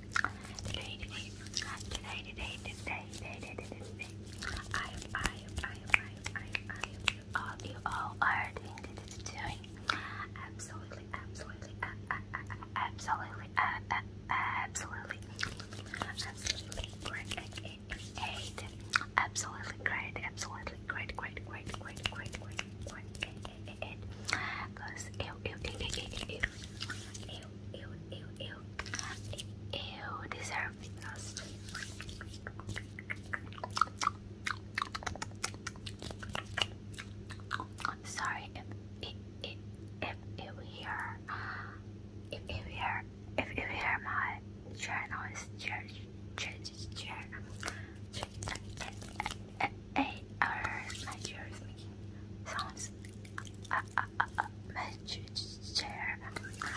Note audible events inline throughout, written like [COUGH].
Today, today, today, today, today, today, I, I, I, I, I, I, you all, you all are doing, doing, absolutely, absolutely, absolutely, absolutely, absolutely great, absolutely great, absolutely great, great, great, great, great, great, great, great, I'm sorry if if if if you hear if you hear if you hear my channel is church church eight hours is making sounds uh, uh, uh, uh, major is a, a,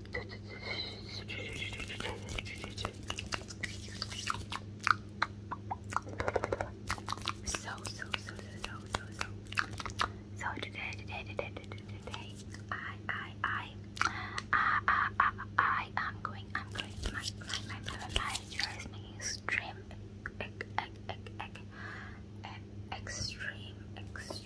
so, so, so, so, so, so, so today, today, today, today, today, I, I, I, I, I, I, I, I'm going, I'm going, my, my, my, my, my, my is making extreme, ec, ec, ec, ec, ec, extreme, extreme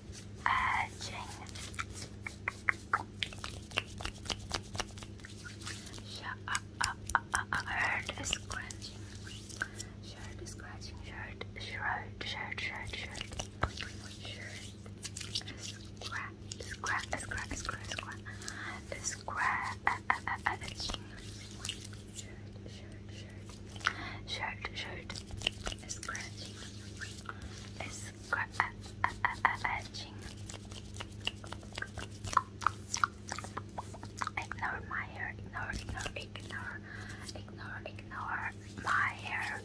yeah, uh, uh, uh, uh, uh, heard a scratching. Shirt, scratching, shirt, shirt, shirt, shirt, shirt, shirt. Scratch, scratch, scratch, scratch, scratch, scratch, scratching shirt, shirt, shirt, shirt, shirt, scratching, scratching. Uh, uh, uh, ignore my hair, ignore, ignore, ignore, ignore, ignore my hair.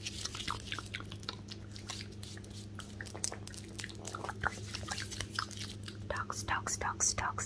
Dogs, dogs, dogs, dogs,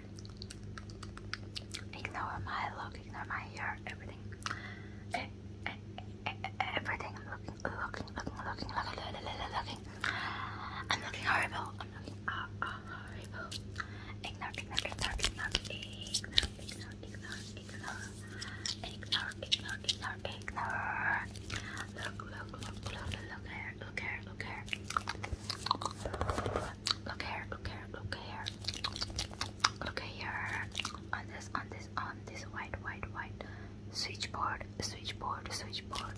Ignore my look, ignore my hair, everything. Eh, eh, eh, everything. I'm looking, looking, looking, looking, looking, looking, looking. I'm looking horrible. I'm looking uh, uh, horrible. Ignore, ignore, ignore, ignore, ignore, ignore, ignore, ignore, ignore, ignore, ignore, ignore. Look, look, look, look, look, look here, look here, look here. Look here, look here, look here. Look here. On this, on this, on this white, white, white. Switchboard, switchboard, switchboard.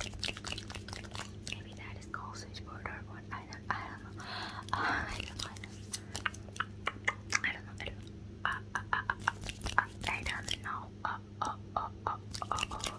Maybe that is called switchboard or what? I don't, I don't know. Uh, [LAUGHS] I don't know. I don't know. I don't know. Uh, uh, uh, uh, uh, I don't know. Uh, uh, uh, uh, uh, uh.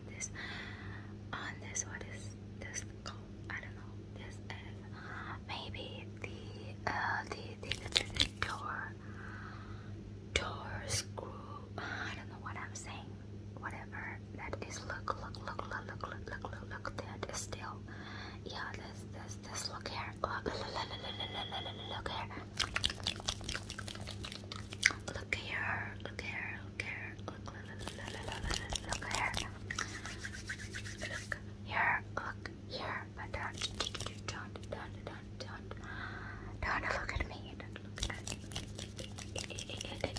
on this on this what is this called? I don't know. This is maybe the uh the the, the, the door door screw. I don't know what I'm saying. Whatever that is. Look look look look look look look look look. That is still. Yeah. This this this. Look here. Look look look look look, look here. Look here, look here, Look here. Look, look here. Look here. Look here. But don't, don't, don't, don't, don't, don't look at me. Don't look at me. Look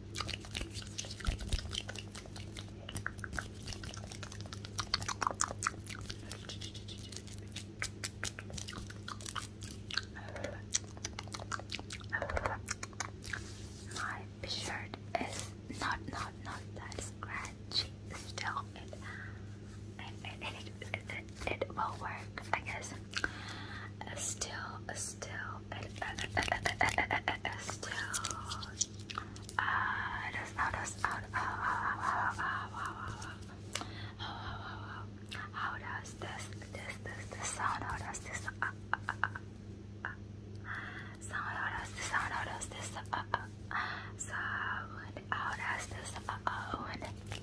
My shirt is not not not that scratchy. Still, it it it, it, it, will work, I guess. Estelle, Estelle, Estelle. Ah, das Auto, das Auto. How does this, this, this, this sound? How does this sound? How does this sound? How does this sound? How does this sound? How does this?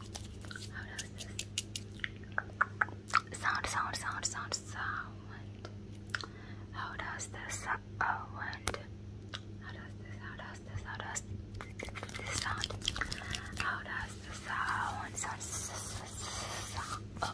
sound, sound, sound, sound, sound. How does the sound? How does this? How does this? How does this sound? How does the sound? Sound, sound, sound.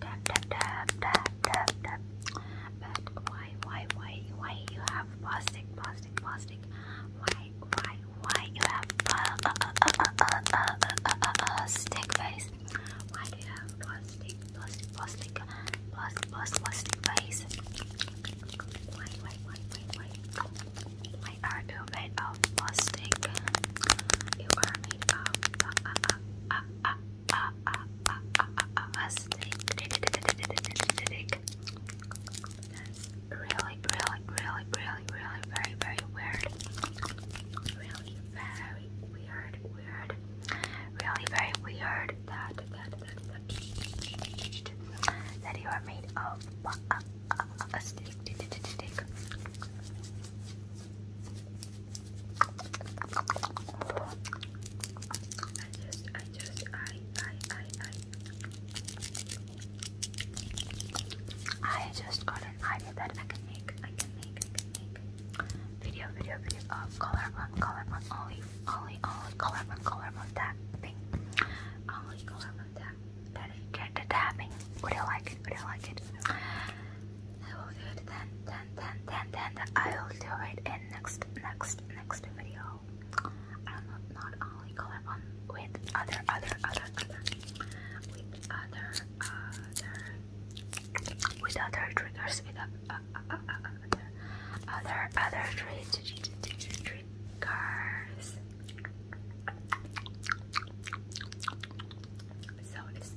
tap tap tap tap tap tap but why why why why you have plastic plastic plastic why why why you have uh, uh, uh, uh, uh, uh, uh, uh, uh, stick face why do you have plastic plastic plastic plastic plastic plastic face why why why why why why are you made of plastic you are made of uh, uh, uh, uh, uh, a, a, a, a, a, a snake. That's really, really, really, really, really, very, very weird. Really, very weird, weird. Really, very weird that that that that, you are made of a, a, a, a snake. Tick, I just, I just, I, I, I, I. I just got an idea that I can make, I can make, I can make video, video, video of color one, color one, only, only, only color one, color one tapping, only color one tap, that is just the tapping. Would you like it? Would you like it? I will do it then, then, then, then, then. I will do it in next, next, next video. i not only collab with other, other, other, other, with other, other, with other triggers, with other, uh, uh, uh, other, other triggers. So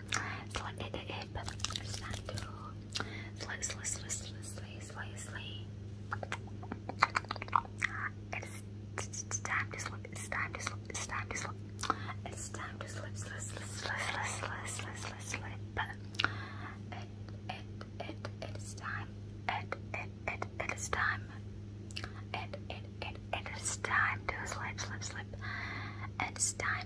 Slide it, it, but it's not too. Slide, slide, slide, slide, slide, slide. It's time to slip. It's time to slip. It's time to slip. It's time to slip, slip, slip, slip, slip, slip, slip, slip. It, it, it, it is time. It, it, it, it is time. It, it, it, it is time to slip, slip, slip. It's time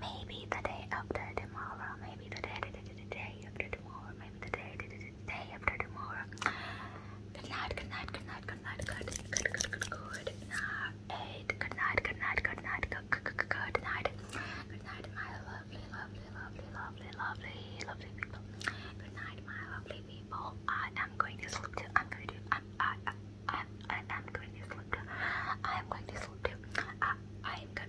Maybe the day after tomorrow. Maybe the day, day, day, day after tomorrow. Maybe the day, day, day, day after tomorrow. Good night, good night, good night, good night, good, good, good, good, good night. Good night, good night, good night, good, good, good, good night. Good night, my lovely, lovely, lovely, lovely, lovely, lovely people. Good night, my lovely people. I am going to sleep too. I'm going to. I'm. I. I. I. I am going to sleep too. I am going to sleep too. I. I am